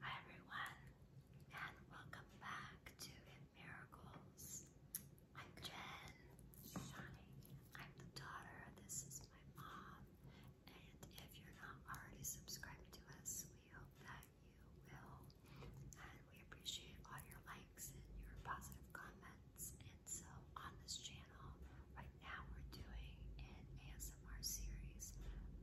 Hi everyone, and welcome back to Miracles. I'm Jen. I'm the daughter. This is my mom. And if you're not already subscribed to us, we hope that you will. And we appreciate all your likes and your positive comments so on this channel, right now we're doing an ASMR series,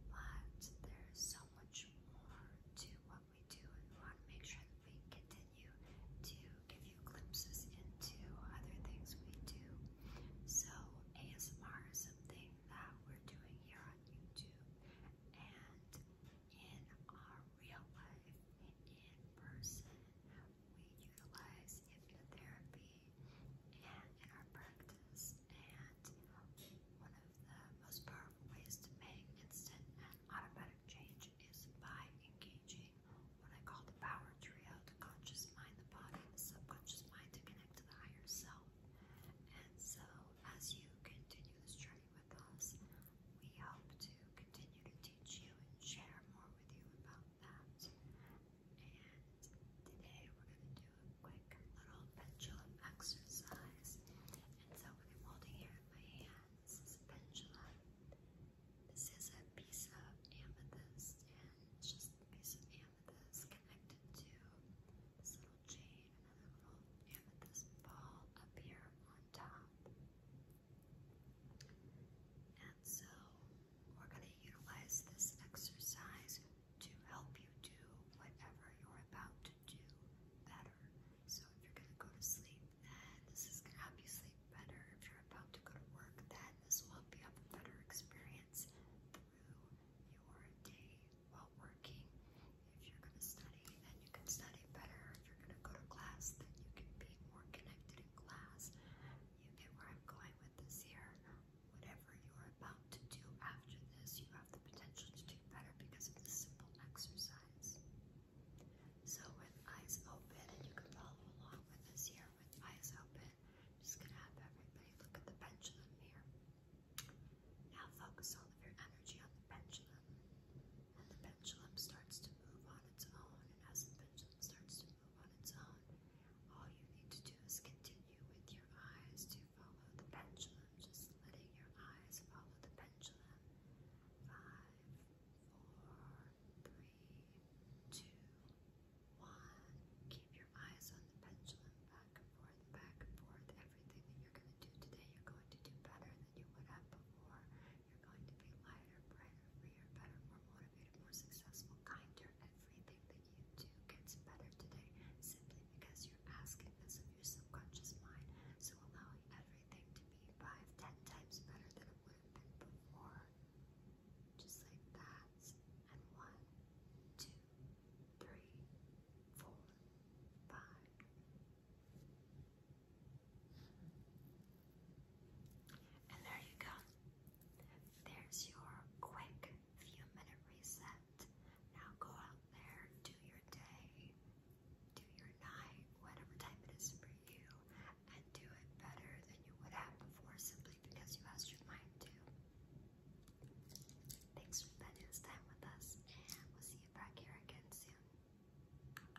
but there's so much more to what we do, and we want to make sure that we continue to give you glimpses into other things we do. So ASMR is something that we're doing here on YouTube and in our real life, in person, we utilize hypnotherapy and in our practice. And one of the most powerful ways to make instant and automatic change is by engaging what I call the power trio, the conscious mind, the body, the subconscious mind to connect to the higher self. And so as you continue this journey with us, we hope to continue to teach you and share more with you about and today we're going to do a quick little pendulum exercise. And so I'm holding here in my hands is a pendulum. This is a piece of amethyst, and it's just a piece of amethyst connected to this little chain, and another little amethyst ball up here on top. And so we're going to utilize this exercise to help you do whatever you're about to do better. So if you're going to go to sleep, then this is going to help you sleep better. If you're about to go to work, then this will help you have a better experience through your day while working. If you're going to study, then you can study better. If you're going to go to class, then you can be more connected in class. You get where I'm going with this here. Whatever you're about to do after this, you have the potential to do better because of this simple exercise. So with eyes open, and you can follow along with this here with eyes open, I'm just gonna have everybody look at the pendulum here. Now focus all of your energy on the pendulum. And the pendulum starts to move on its own, and as the pendulum starts to move on its own. All you need to do is continue with your eyes to follow the pendulum, just letting your eyes follow the pendulum. Five, four, three, two, one. Keep your eyes on the pendulum back and forth, back and forth. Everything that you're going to do today, you're going to do better than you would have before. You're going to be lighter, brighter, freer, better, more motivated, more successful, kinder. Everything that you do gets better today simply because you're asking this of your subconscious mind. So allowing everything to be five, ten times better than it would have been before. Just like that. And one, two, three, four, five. And there you go. There's your quick few minute reset. Now go out there, do your day, do your night, whatever time it is for you, and do it better than you would have before simply because you asked your mind to. Thanks for spending this time with us, and we'll see you back here again soon.